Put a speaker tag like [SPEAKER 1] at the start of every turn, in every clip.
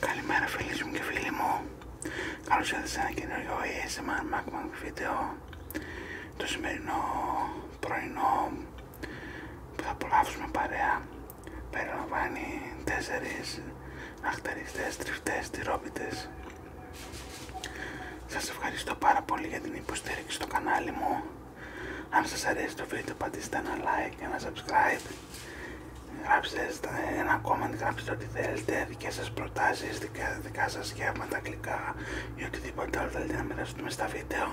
[SPEAKER 1] Καλημέρα φίλοι μου και φίλοι μου Καλώς ήρθατε σε ένα καινούριο ASMR βίντεο Το σημερινό πρωινό που θα απολαύσουμε παρέα περιλαμβάνει 4 αχτεριστές, τριφτές, τυρόπιτες Σας ευχαριστώ πάρα πολύ για την υποστήριξη στο κανάλι μου Αν σας αρέσει το βίντεο πατήστε ένα like και ένα subscribe Γράψτε ένα comment, γράψτε ό,τι θέλετε, δικές σας προτάσεις, δικά, δικά σας σχέματα, αγγλικά ή οτιδήποτε άλλο θέλετε να μοιραστούμε στα βίντεο.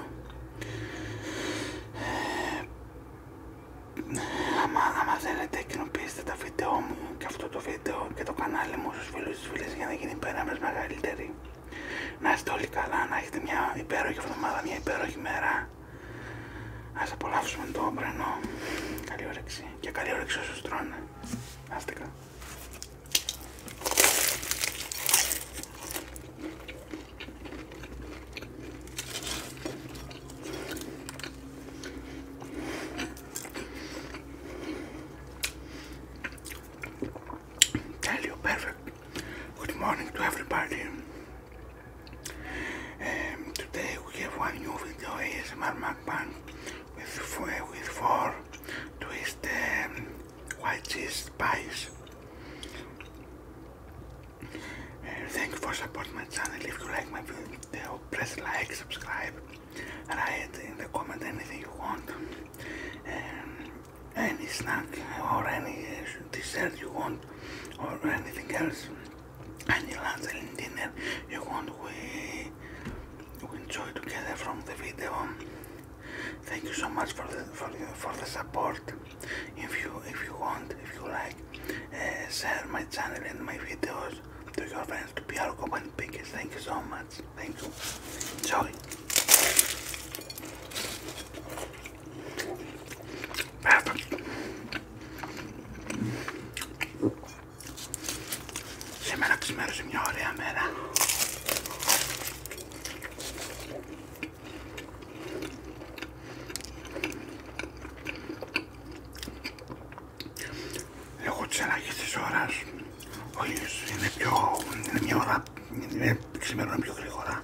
[SPEAKER 1] άμα, θέλετε κοινοποιήστε τα βίντεο μου και αυτό το βίντεο και το κανάλι μου στους φίλους της φίλες για να γίνει πέρα μεγαλύτερη. Να είστε όλοι καλά, να έχετε μια υπέροχη εβδομάδα, μια υπέροχη μέρα Ας απολαύσουμε το όμπρανο. Καλή όρεξη και καλή όρεξη όσους τρώνε. άστεκα. Τέλειο, perfect. Good morning to everybody. Um, today we have one new video ASMR mukbang with, with four twist um, white cheese pies. Uh, thank you for supporting my channel. If you like my video, press like, subscribe, write in the comment anything you want. Um, any snack or any eh, dessert you want or anything else and you'll have the dinner you want we, we enjoy together from the video thank you so much for the for the, for the support if you if you want if you like uh, share my channel and my videos to your friends to be our company pickers thank you so much thank you enjoy σήμερα ξημέρωσε μια ωραία μέρα. Λόγω της αλλαγής της ώρας, ο ήλιος είναι πιο, μια ώρα, είναι, πιο γρήγορα.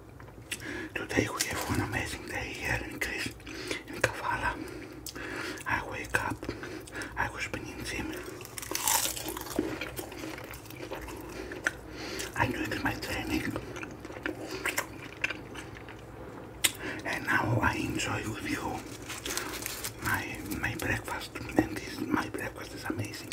[SPEAKER 1] Today we have one amazing day here in Greece, Kavala. I wake up, I was spinning gym. I'm doing my training. And now I enjoy with you my my breakfast and this my breakfast is amazing.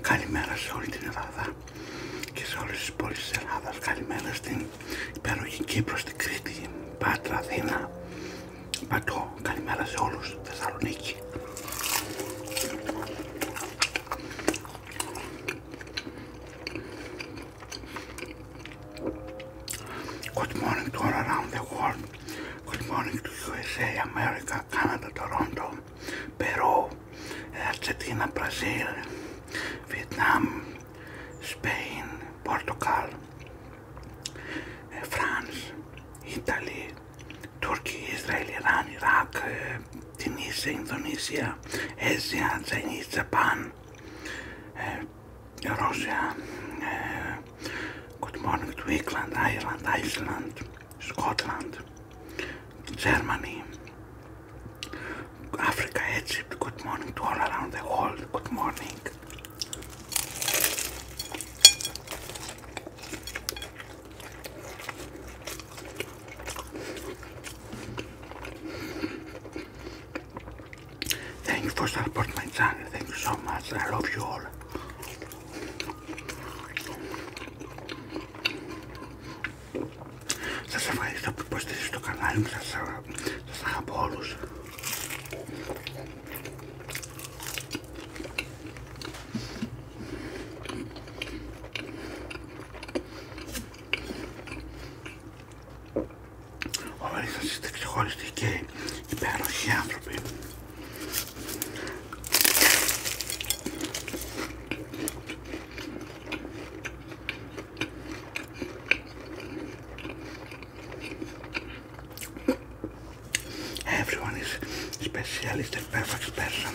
[SPEAKER 1] Καλημέρα σε όλη την Ελλάδα και σε όλες τις πόλεις της Ελλάδας. Καλημέρα στην υπέροχη Κύπρο, στην Κρήτη, Πάτρα, Αθήνα, Πατώ. Καλημέρα σε όλους, Θεσσαλονίκη. Good morning to all around the world. Good morning to USA, America, Canada, Toronto. Περού, Αρτζεντίνα, Βραζίλ, Βιετνάμ, Σπέιν, Πορτοκάλ, Φρανς, Ιταλή, Τουρκία, Ισραήλ, Ιράν, Ιράκ, ε, Τινίσια, Ινδονήσια, Έζια, Τζένι, Τζαπάν, ε, Ρώσια, Κοτμόνιγκ, Τουίκλαντ, Άιρλαντ, Scotland, Germany, Africa, Egypt, good morning to all around the world, good morning. Thank you for supporting my channel, thank you so much, I love you all. Σας ευχαριστώ που υποστηρίζετε το κανάλι μου, σας, σας αγαπώ όλους. Όλοι σας είστε και υπέροχοι άνθρωποι. Everyone is specialist and perfect person.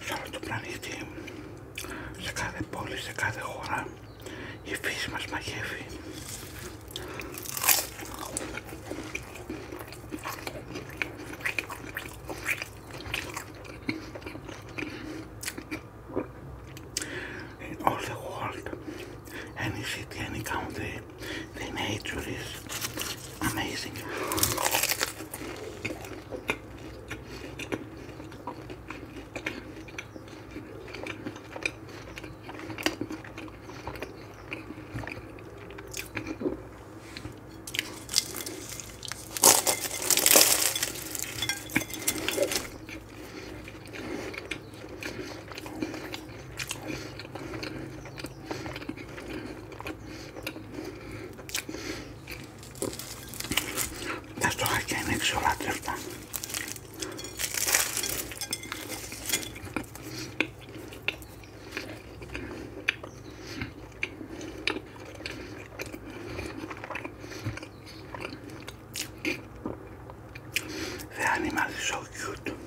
[SPEAKER 1] σε όλο πλανήτη, σε κάθε πόλη, σε κάθε χώρα η φύση μας μαγεύει. In all the world. any city, any country. The nature is amazing. Τα στοχάκια είναι εξολάτρευτα. The animal is so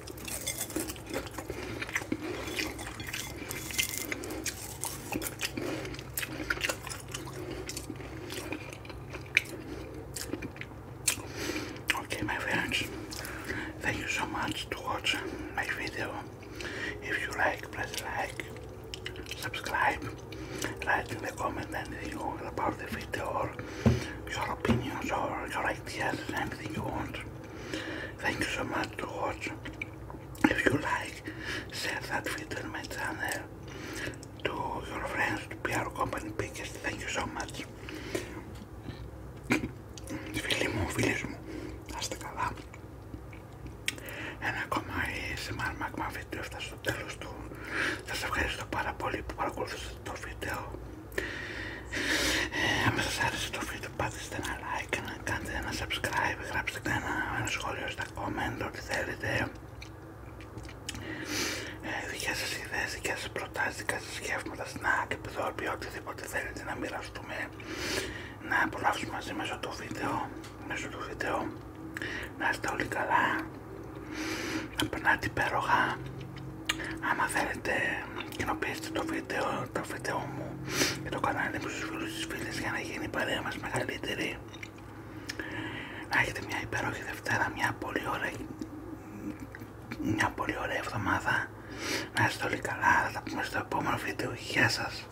[SPEAKER 1] Okay, my friends, thank you so much to watch my video. If you like, please like, subscribe, write in the comment anything about the video. with your opinions or your ideas anything you want. Thank you so much to watch. If you like, share that video in my channel to your friends, to be our company pickers. Thank you so much. Φίλοι μου, φίλες μου, άστε καλά. Ένα ακόμα ASMR Magma video έφτασε στο τέλος του. Σας ευχαριστώ πάρα πολύ που παρακολουθήσατε το βίντεο. Αν σας άρεσε το βίντεο πατήστε ένα like, να ένα subscribe, γράψτε ένα, ένα σχόλιο στα comment, ό,τι θέλετε. δικέ ε, δικές σας ιδέες, δικές σας προτάσεις, δικά σας σκέφτματα, snack, οτιδήποτε θέλετε να μοιραστούμε, να απολαύσουμε μαζί μέσω του βίντεο, μέσω του βίντεο. Να είστε όλοι καλά, να περνάτε υπέροχα. Αν θέλετε κοινοποιήστε το βίντεο, το βίντεο μου και το κανάλι μου στους φίλους της φίλες για να γίνει η παρέα μας μεγαλύτερη να έχετε μια υπέροχη Δευτέρα, μια πολύ ωραία μια πολύ ωραία εβδομάδα να είστε όλοι καλά, θα τα πούμε στο επόμενο βίντεο, γεια σας